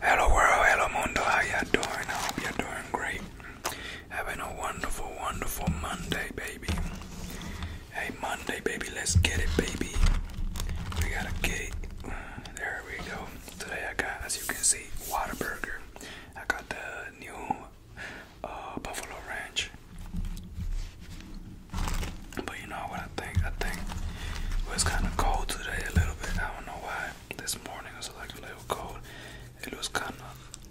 Hello world, hello mundo, how you doing? I hope you're doing great. Having a wonderful, wonderful Monday, baby. Hey Monday, baby, let's get it, baby. We got a cake. There we go. Today I got, as you can see, Whataburger. I got the new uh, Buffalo Ranch. But you know what I think I think it was kind of cold today a little bit. I don't know why. This morning was like a little cold. It was kind of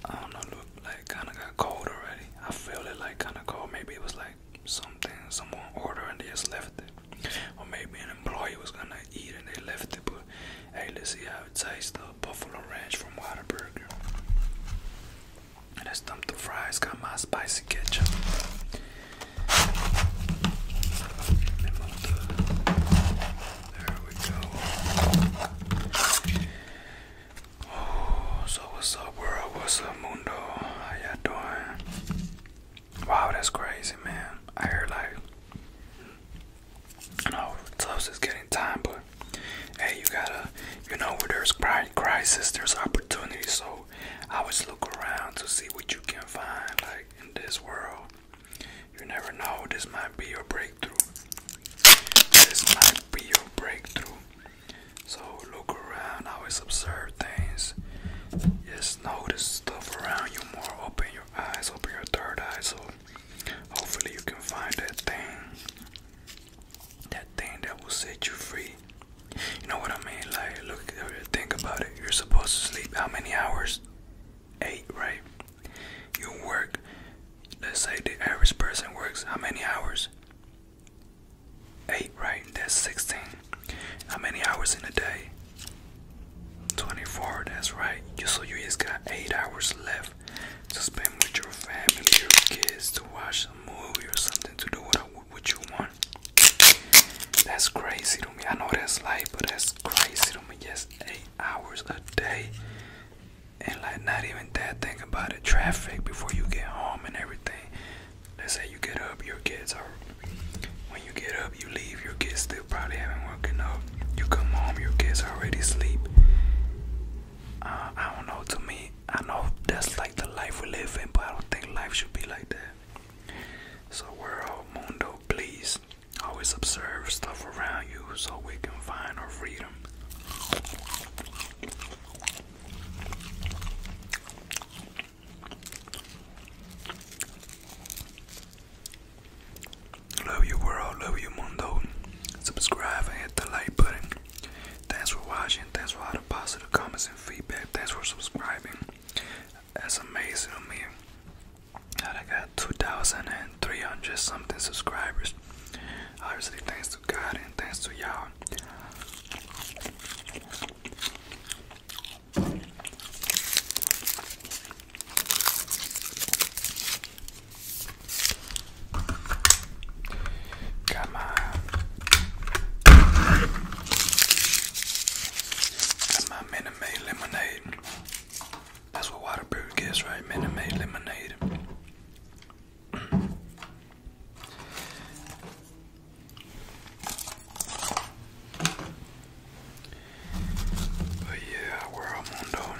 I don't know, look like kind of got cold already. I feel it like kind of cold. Maybe it was like something someone ordered and they just left it, or maybe an employee was gonna eat and they left it. But hey, let's see how it tastes. The buffalo ranch from Whataburger. And I stumped the fries. Got my spicy ketchup. Oh, so what's up, world? What's up, mundo? How y'all doing? Wow, that's crazy, man. I hear like, you know, Tufts is getting time, but hey, you gotta, you know, where there's crisis, there's opportunity. So you always look around to see what you can find like in this world you never know this might be your breakthrough this might be your breakthrough so look around always observe things just notice stuff around you more open your eyes open your third eye so hopefully you can find that thing that thing that will set you free you know what I mean? Like, look, think about it. You're supposed to sleep how many hours? Eight, right? You work. Let's say the average person works how many hours? Eight, right? That's 16. How many hours in a day? 24, that's right. so you just got eight hours left to spend with your family, your kids, to watch a movie or something, to do what, what you want. That's crazy to me. I know that's life, but that's crazy to me. Just eight hours a day, and like not even that. Think about the traffic before you get home and everything. Let's say you get up, your kids are. When you get up, you leave. Your kids still probably haven't woken up. You come home, your kids already sleep. Uh, I don't know. To me, I know that's like the life we live in, but I don't think life should be like that. So, world, mundo, please always observe stuff around you so we can find our freedom. Love you, world. Love you, mundo. Subscribe and hit the like button. Thanks for watching. Thanks for all the positive comments and feedback. Thanks for subscribing. That's amazing to me. God, I got 2,300 something subscribers. Obviously, thanks to God and thanks to y'all. Come on. That's my Minute Maid lemonade. That's what Waterbird gets, right? Minute Maid lemonade. Mm. But yeah, world mundo.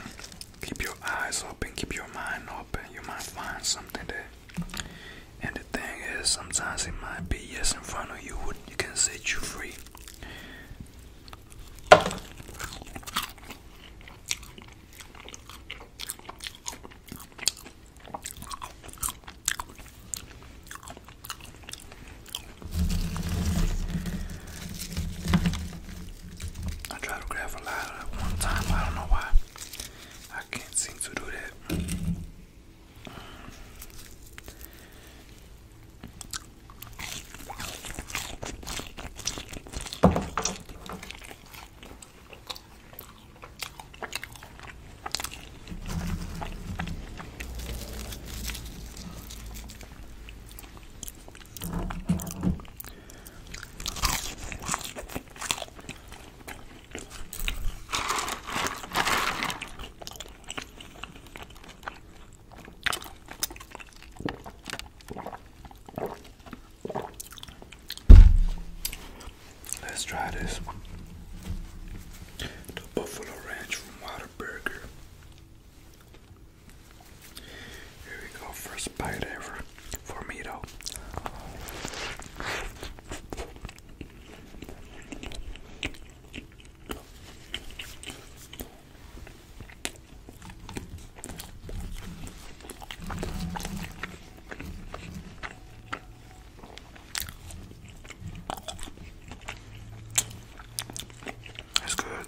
Keep your eyes open, keep your mind open. You might find something that and the thing is, sometimes it might be yes in front of you, would you can set you free. I try to grab a lot one time. I don't know why. I can't seem to do that. Let's try this. The Buffalo Ranch from Whataburger. Here we go, first bite ever for me though. That's good.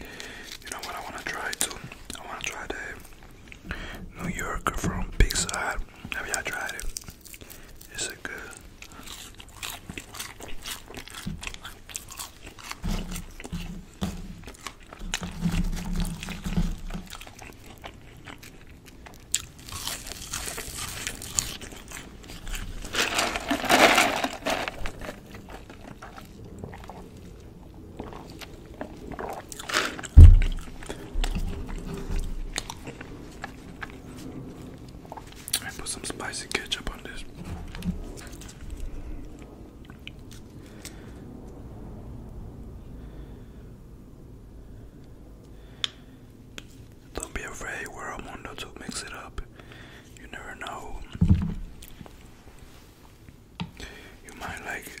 You know what I wanna try too? I wanna try the New Yorker from Big Side. Have y'all tried it? Is it good? I put some spicy ketchup on this. Don't be afraid, we're a mundo to mix it up. You never know. You might like it.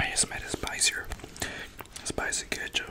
I just made a spicier, spicy ketchup.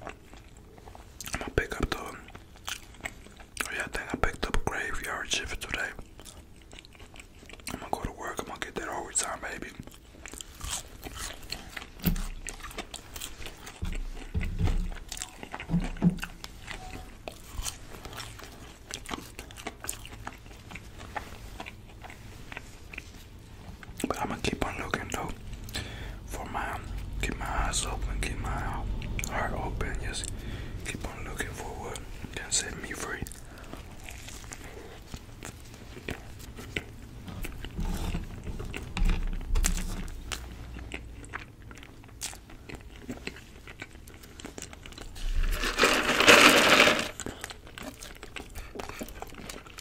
I'm gonna pick up the. Oh yeah, I think I picked up a graveyard shift today. I'm gonna go to work. I'm gonna get that overtime, baby. But I'm gonna keep on looking though for my keep my eyes open, keep my heart open, just keep on looking for what can set me free.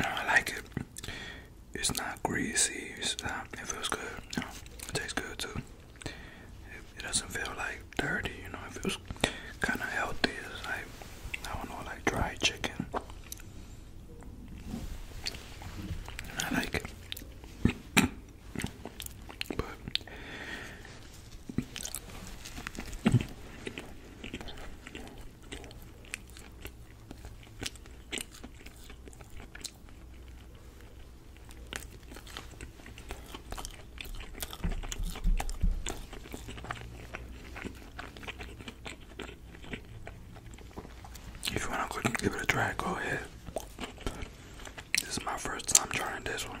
I like it. It's not greasy. Um, it feels good. it tastes good too. It, doesn't feel like dirty. You know, it feels kind of healthy. It's like I don't know, like dry chicken. I like it if you want to give it a try, go ahead. This is my first time trying this one.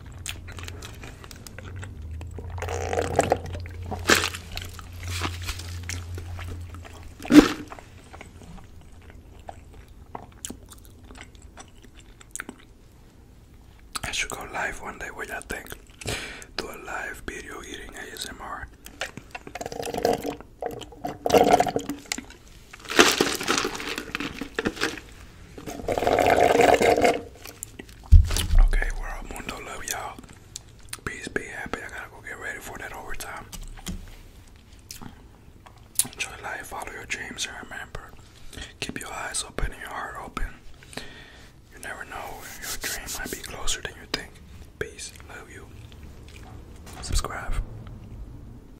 I should go live one day with I think. Do a live video eating ASMR. Okay, we mundo love y'all. Peace, be happy. I gotta go get ready for that overtime. Enjoy life, follow your dreams, and remember, keep your eyes open and your heart open. You never know, your dream might be closer than you think. Peace, love you. Subscribe.